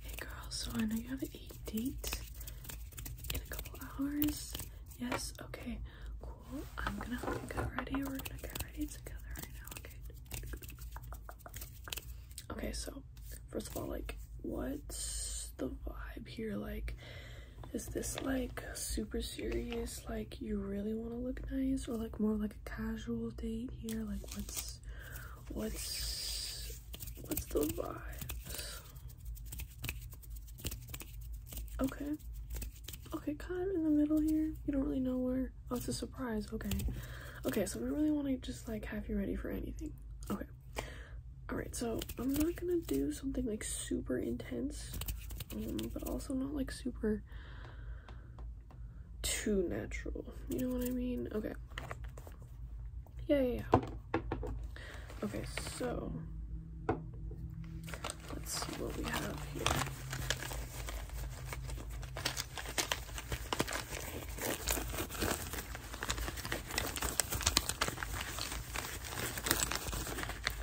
Hey girl, so I know you have a date in a couple hours. Yes? Okay, cool. I'm gonna help you get ready. We're gonna get ready together right now, okay? Okay, so first of all, like, what's the vibe here? Like, is this like super serious? Like, you really wanna look nice? Or like more like a casual date here? Like, what's What's what's the vibe? Okay. Okay, kind of in the middle here. You don't really know where. Oh, it's a surprise. Okay. Okay, so we really want to just like have you ready for anything. Okay. Alright, so I'm not gonna do something like super intense, um, but also not like super too natural. You know what I mean? Okay. Yeah, yeah, Okay, so let's see what we have here.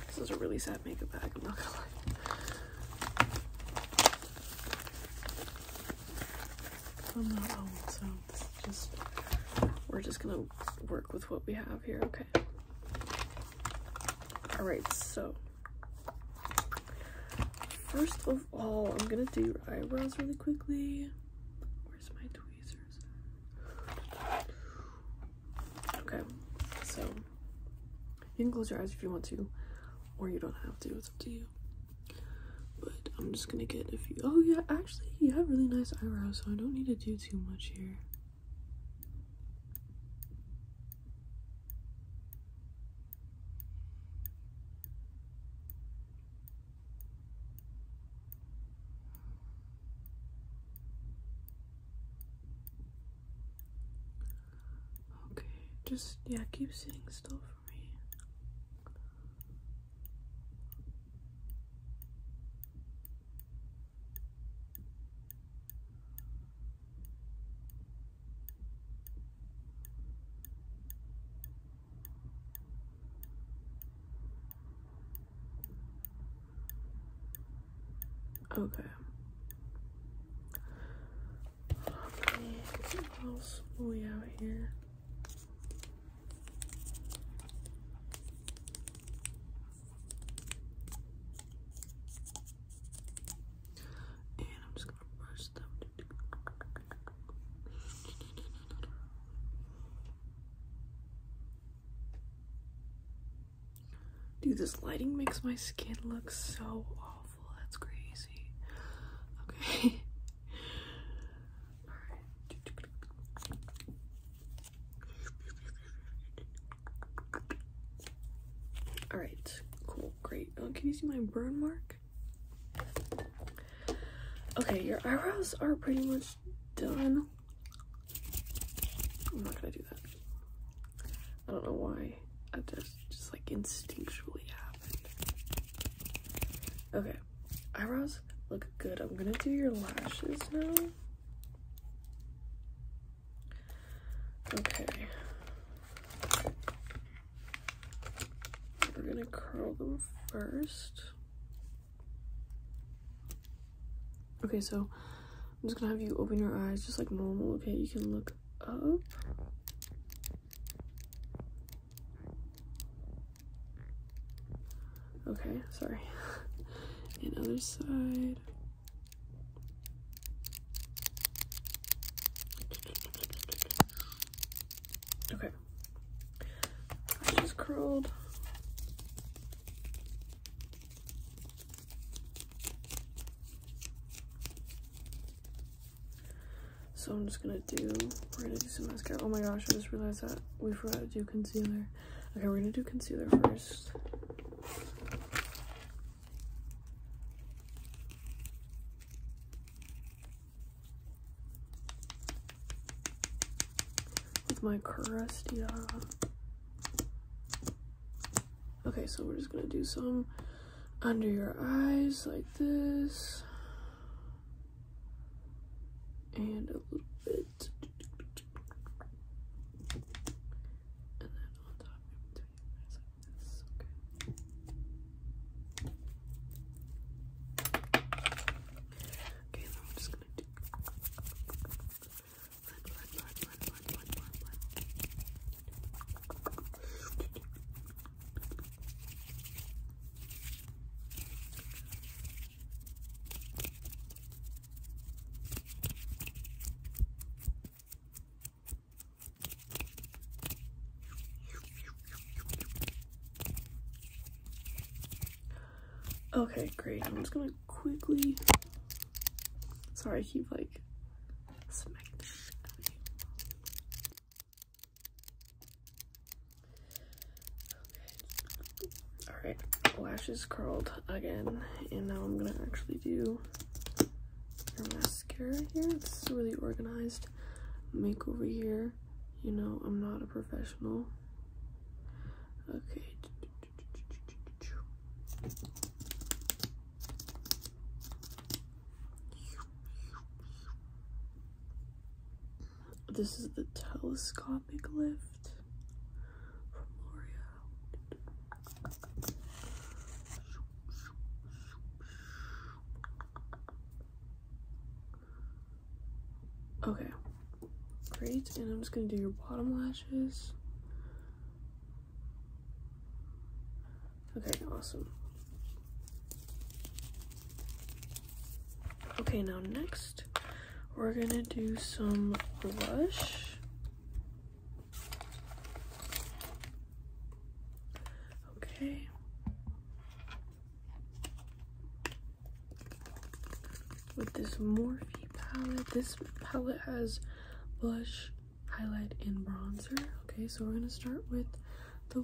This is a really sad makeup bag, I'm not gonna lie. Oh, so just we're just gonna work with what we have here, okay? Alright, so first of all, I'm gonna do eyebrows really quickly. Where's my tweezers? Okay, so you can close your eyes if you want to, or you don't have to, it's up to you. But I'm just gonna get a few. Oh, yeah, actually, you have really nice eyebrows, so I don't need to do too much here. Okay, just yeah, keep sitting still for me. Okay. How many miles are out here? And I'm just going to brush them. Dude, this lighting makes my skin look so awful. That's crazy. Okay. Alright. cool, great. Oh, can you see my burn mark? Okay, your eyebrows are pretty much done. I'm not gonna do that. I don't know why I did just like instinctually happened. Okay, eyebrows look good. I'm gonna do your lashes now. Okay. We're gonna curl them first. Okay, so I'm just gonna have you open your eyes just like normal, okay? You can look up. Okay, sorry. and other side. Okay. just curled. So I'm just gonna do, we're gonna do some mascara. Oh my gosh, I just realized that we forgot to do concealer. Okay, we're gonna do concealer first. With my Crusty Okay, so we're just gonna do some under your eyes like this and a little bit and then on top in between your like this, okay? Okay, now I'm just gonna do Okay, great. I'm just gonna quickly. Sorry, keep like smacking the shit out of you. Alright, lashes curled again. And now I'm going to actually do your mascara here. This It's really organized. Makeover here. You know, I'm not a professional. Okay. This is the telescopic lift Okay, great. And I'm just gonna do your bottom lashes. Okay, awesome. Okay, now next, we're gonna do some blush. Okay. With this Morphe palette, this palette has blush, highlight, and bronzer. Okay, so we're gonna start with the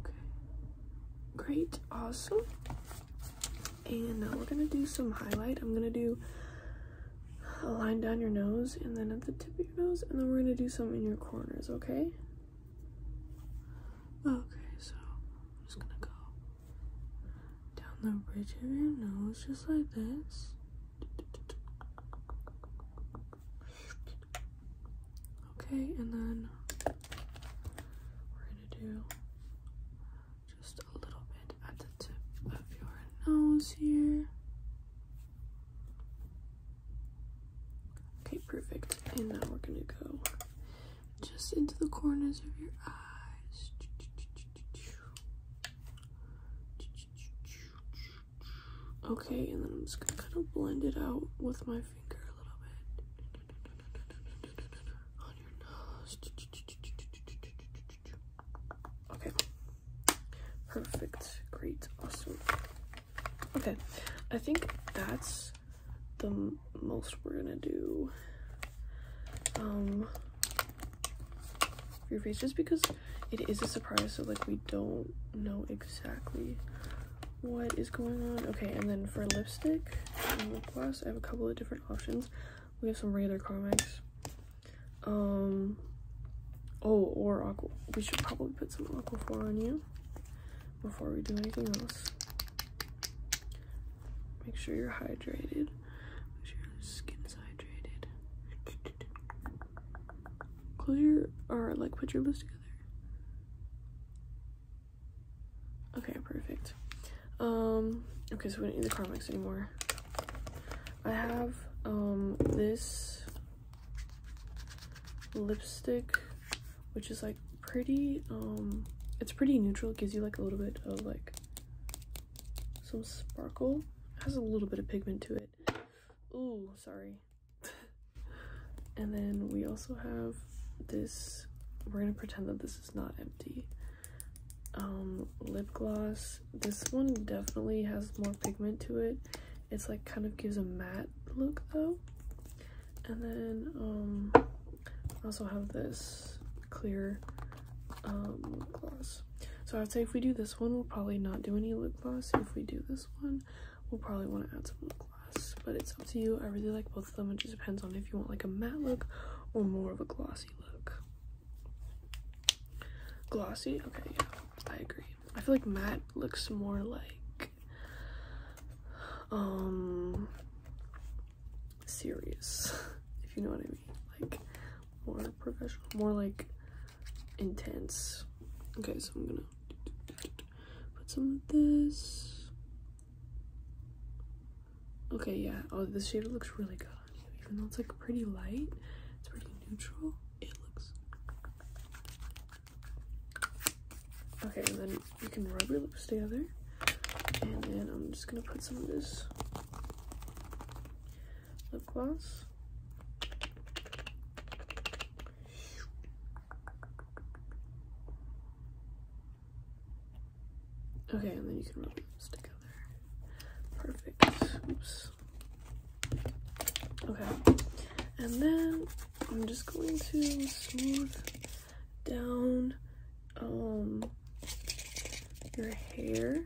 Okay. Great. Awesome. And now we're going to do some highlight. I'm going to do a line down your nose and then at the tip of your nose. And then we're going to do some in your corners, okay? Okay, so I'm just going to go down the bridge of your nose just like this. Okay, and then we're gonna do just a little bit at the tip of your nose here. Okay, perfect. And now we're gonna go just into the corners of your eyes. Okay, and then I'm just gonna kind of blend it out with my finger a little bit Okay, perfect, great, awesome. Okay, I think that's the most we're gonna do. Um, your face just because it is a surprise so like we don't know exactly what is going on okay and then for lipstick and i have a couple of different options we have some regular comics um oh or aqua we should probably put some aquaphor on you before we do anything else make sure you're hydrated make sure your skin is hydrated Close your, or like put your lips together. Okay, perfect. Um, okay, so we don't need the Carmex anymore. I have, um, this lipstick, which is like pretty, um, it's pretty neutral. gives you like a little bit of like some sparkle. has a little bit of pigment to it. Ooh, sorry. and then we also have this, we're gonna pretend that this is not empty. Um, lip gloss. This one definitely has more pigment to it. It's like kind of gives a matte look though. And then I um, also have this clear um, gloss. So I'd say if we do this one, we'll probably not do any lip gloss. If we do this one, we'll probably want to add some gloss, but it's up to you. I really like both of them. It just depends on if you want like a matte look or more of a glossy look. Glossy? Okay, yeah, I agree. I feel like matte looks more like um serious, if you know what I mean. Like more professional, more like intense. Okay, so I'm gonna put some of this. Okay, yeah. Oh, this shade looks really good on you. Even though it's like pretty light, it's pretty neutral. It looks okay. And then you can rub your lips together, and then I'm just gonna put some of this lip gloss. Okay, and then you can rub those together. Perfect. Oops. Okay. And then I'm just going to smooth down um, your hair.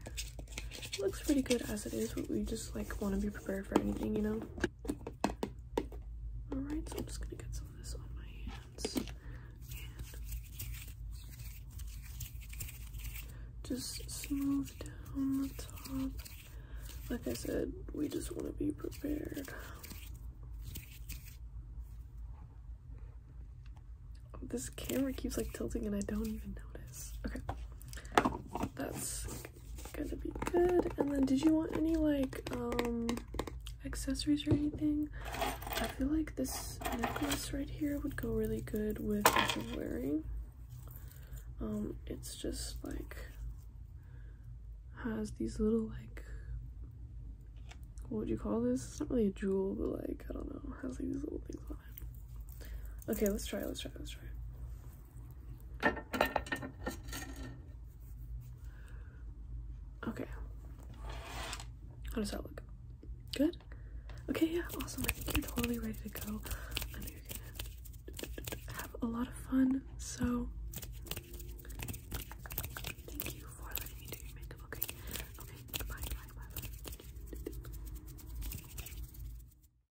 looks pretty good as it is, but we just like want to be prepared for anything, you know? Alright, so I'm just gonna get some of this on my hands and just smooth down the top. Like I said, we just want to be prepared. This camera keeps like tilting and I don't even notice. Okay, that's gonna be good. And then did you want any like um accessories or anything? I feel like this necklace right here would go really good with this i wearing. Um, it's just like has these little like what would you call this? It's not really a jewel, but like I don't know, has like these little things on it. Okay, let's try, let's try, let's try. Okay. How does that look? Good? Okay, yeah, awesome. I think you're totally ready to go. I know you're gonna have a lot of fun, so thank you for letting me do your makeup, okay? Okay, bye, bye, bye, bye.